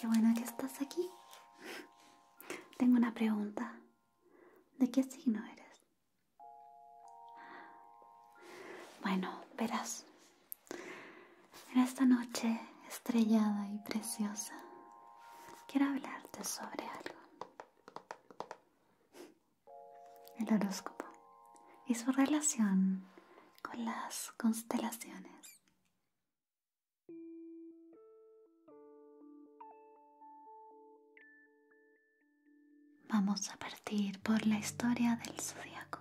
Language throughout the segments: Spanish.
Qué bueno que estás aquí. Tengo una pregunta. ¿De qué signo eres? Bueno, verás. En esta noche estrellada y preciosa, quiero hablarte sobre algo. El horóscopo y su relación con las constelaciones. Vamos a partir por la historia del zodiaco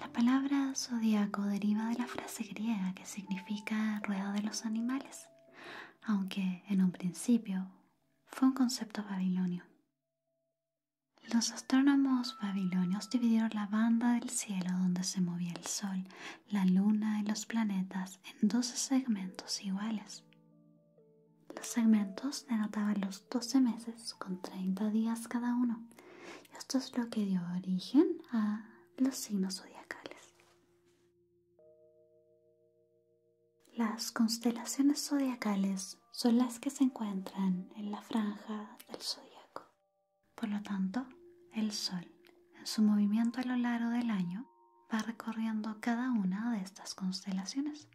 la palabra zodiaco deriva de la frase griega que significa rueda de los animales, aunque en un principio fue un concepto babilonio. Los astrónomos babilonios dividieron la banda del cielo donde se movía el sol, la luna y los planetas en 12 segmentos iguales. Los segmentos denotaban los 12 meses con 30 días cada uno esto es lo que dio origen a los signos zodiacales. Las constelaciones zodiacales son las que se encuentran en la franja del zodíaco. Por lo tanto, el Sol, en su movimiento a lo largo del año, va recorriendo cada una de estas constelaciones.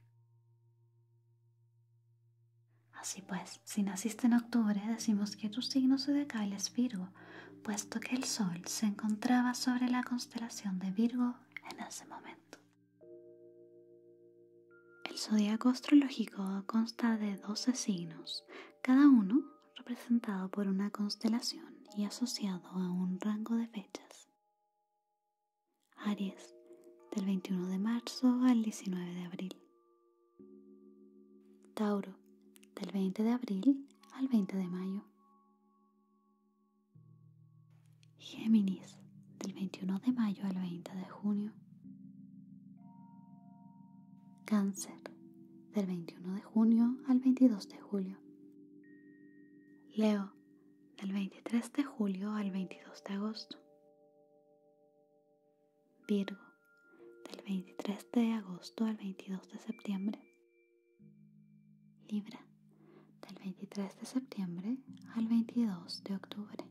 Así pues, si naciste en octubre, decimos que tu signo zodiacal es Virgo, puesto que el Sol se encontraba sobre la constelación de Virgo en ese momento. El zodiaco astrológico consta de 12 signos, cada uno representado por una constelación y asociado a un rango de fechas. Aries, del 21 de marzo al 19 de abril. Tauro, del 20 de abril al 20 de mayo. Géminis, del 21 de mayo al 20 de junio. Cáncer, del 21 de junio al 22 de julio. Leo, del 23 de julio al 22 de agosto. Virgo, del 23 de agosto al 22 de septiembre. Libra, del 23 de septiembre al 22 de octubre.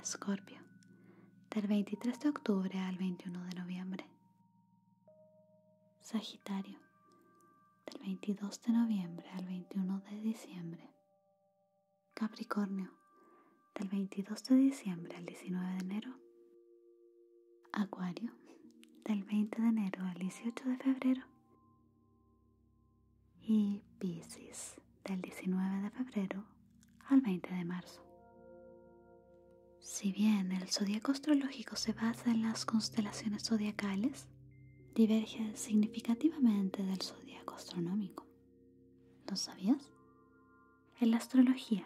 Escorpio, del 23 de octubre al 21 de noviembre. Sagitario, del 22 de noviembre al 21 de diciembre. Capricornio, del 22 de diciembre al 19 de enero. Acuario, del 20 de enero al 18 de febrero. Y Pisces, del 19 de febrero al 20 de marzo. Si bien el zodiaco astrológico se basa en las constelaciones zodiacales, diverge significativamente del zodiaco astronómico. ¿Lo sabías? En la astrología,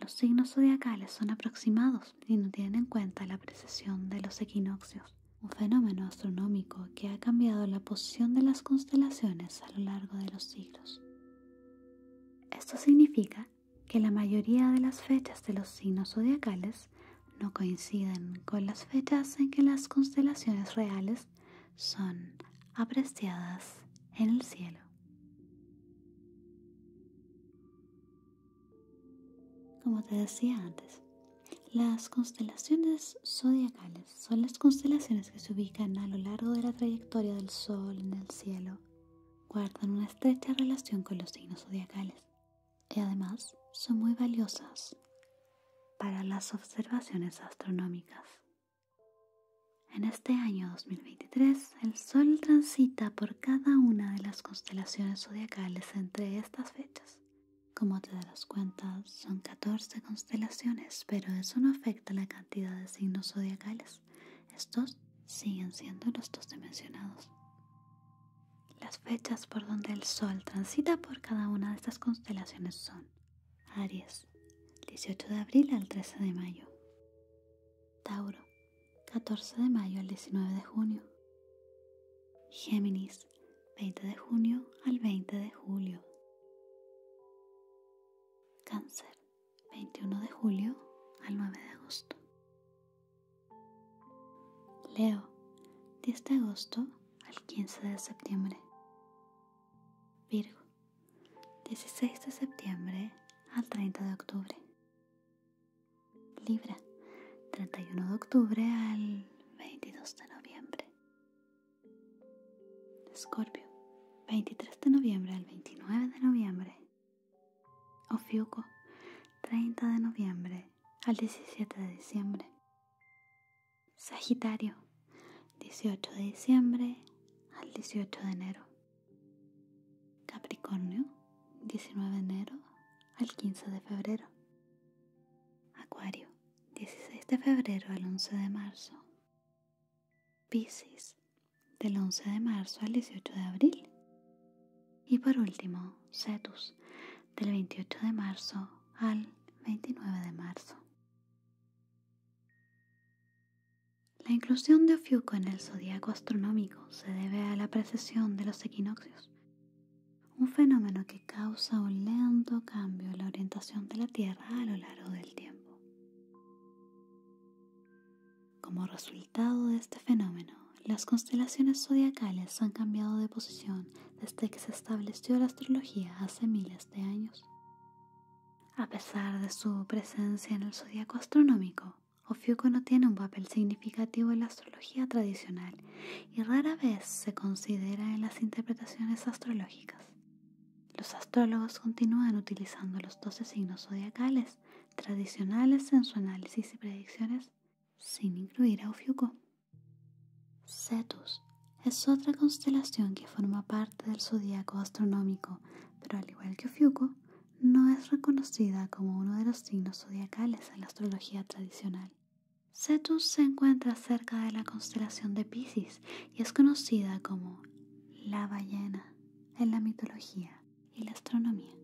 los signos zodiacales son aproximados y no tienen en cuenta la precesión de los equinoccios, un fenómeno astronómico que ha cambiado la posición de las constelaciones a lo largo de los siglos. Esto significa que la mayoría de las fechas de los signos zodiacales no coinciden con las fechas en que las constelaciones reales son apreciadas en el cielo. Como te decía antes, las constelaciones zodiacales son las constelaciones que se ubican a lo largo de la trayectoria del Sol en el cielo. Guardan una estrecha relación con los signos zodiacales y además son muy valiosas para las observaciones astronómicas. En este año 2023, el Sol transita por cada una de las constelaciones zodiacales entre estas fechas. Como te darás cuenta, son 14 constelaciones, pero eso no afecta la cantidad de signos zodiacales. Estos siguen siendo los dos dimensionados. Las fechas por donde el Sol transita por cada una de estas constelaciones son Aries, 18 de abril al 13 de mayo. Tauro, 14 de mayo al 19 de junio. Géminis, 20 de junio al 20 de julio. Cáncer, 21 de julio al 9 de agosto. Leo, 10 de agosto al 15 de septiembre. Virgo, 16 de septiembre al 30 de octubre. Libra, 31 de octubre al 22 de noviembre. Escorpio, 23 de noviembre al 29 de noviembre. Ofiuco, 30 de noviembre al 17 de diciembre. Sagitario, 18 de diciembre al 18 de enero. Capricornio, 19 de enero al 15 de febrero. Acuario, 16 de febrero al 11 de marzo. Piscis, del 11 de marzo al 18 de abril. Y por último, Cetus, del 28 de marzo al 29 de marzo. La inclusión de Ofiuco en el zodiaco astronómico se debe a la precesión de los equinoccios, un fenómeno que causa un lento cambio en la orientación de la Tierra a lo largo del tiempo. Como resultado de este fenómeno, las constelaciones zodiacales han cambiado de posición desde que se estableció la astrología hace miles de años. A pesar de su presencia en el zodiaco astronómico, Ofiuco no tiene un papel significativo en la astrología tradicional y rara vez se considera en las interpretaciones astrológicas. Los astrólogos continúan utilizando los 12 signos zodiacales tradicionales en su análisis y predicciones, sin incluir a Ofiuco. Cetus es otra constelación que forma parte del zodiaco astronómico, pero al igual que Ofiuco, no es reconocida como uno de los signos zodiacales en la astrología tradicional. Cetus se encuentra cerca de la constelación de Pisces y es conocida como la ballena en la mitología y la astronomía.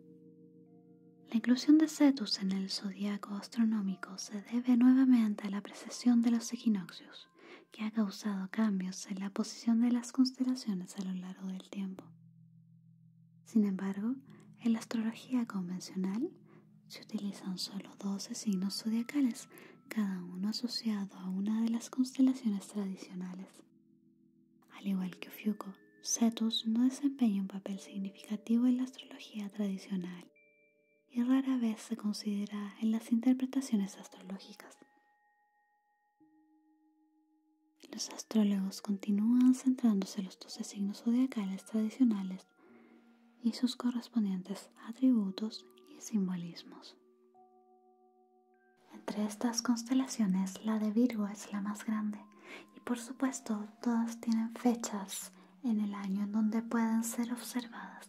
La inclusión de Cetus en el zodiaco astronómico se debe nuevamente a la precesión de los equinoccios que ha causado cambios en la posición de las constelaciones a lo largo del tiempo. Sin embargo, en la astrología convencional se utilizan solo 12 signos zodiacales, cada uno asociado a una de las constelaciones tradicionales. Al igual que Ofiuco, Cetus no desempeña un papel significativo en la astrología tradicional y rara vez se considera en las interpretaciones astrológicas. Los astrólogos continúan centrándose en los 12 signos zodiacales tradicionales y sus correspondientes atributos y simbolismos. Entre estas constelaciones, la de Virgo es la más grande y por supuesto todas tienen fechas en el año en donde pueden ser observadas.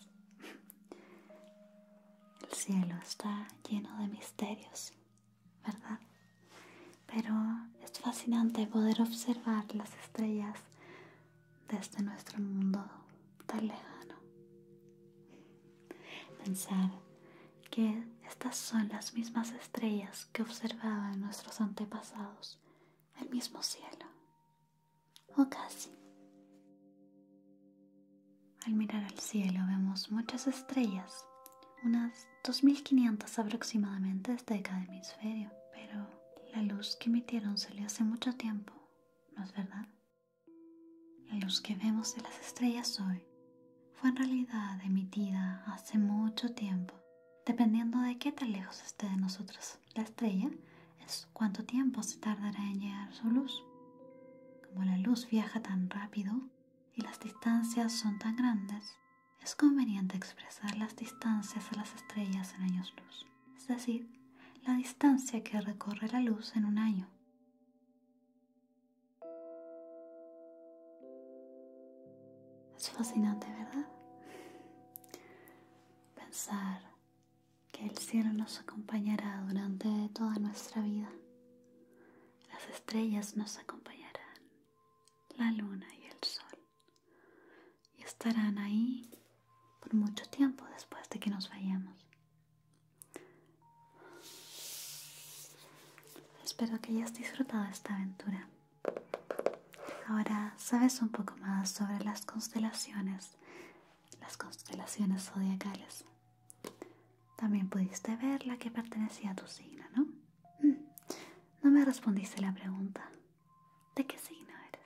El cielo está lleno de misterios, ¿verdad? Pero es fascinante poder observar las estrellas desde este nuestro mundo tan lejano. Pensar que estas son las mismas estrellas que observaban nuestros antepasados, el mismo cielo, o casi. Al mirar al cielo vemos muchas estrellas, unas 2.500 aproximadamente desde cada hemisferio, pero la luz que emitieron le hace mucho tiempo, ¿no es verdad? La luz que vemos de las estrellas hoy fue en realidad emitida hace mucho tiempo. Dependiendo de qué tan lejos esté de nosotros la estrella, es ¿cuánto tiempo se tardará en llegar su luz? Como la luz viaja tan rápido y las distancias son tan grandes, es conveniente expresar las distancias a las estrellas en años luz, es decir, la distancia que recorre la luz en un año. Es fascinante, ¿verdad? Pensar que el cielo nos acompañará durante toda nuestra vida. Las estrellas nos acompañarán, la luna y el sol, y estarán ahí por mucho tiempo después de que nos vayamos. Espero que hayas disfrutado esta aventura. Ahora sabes un poco más sobre las constelaciones las constelaciones zodiacales. También pudiste ver la que pertenecía a tu signo, ¿no? Mm. no me respondiste la pregunta. ¿De qué signo eres?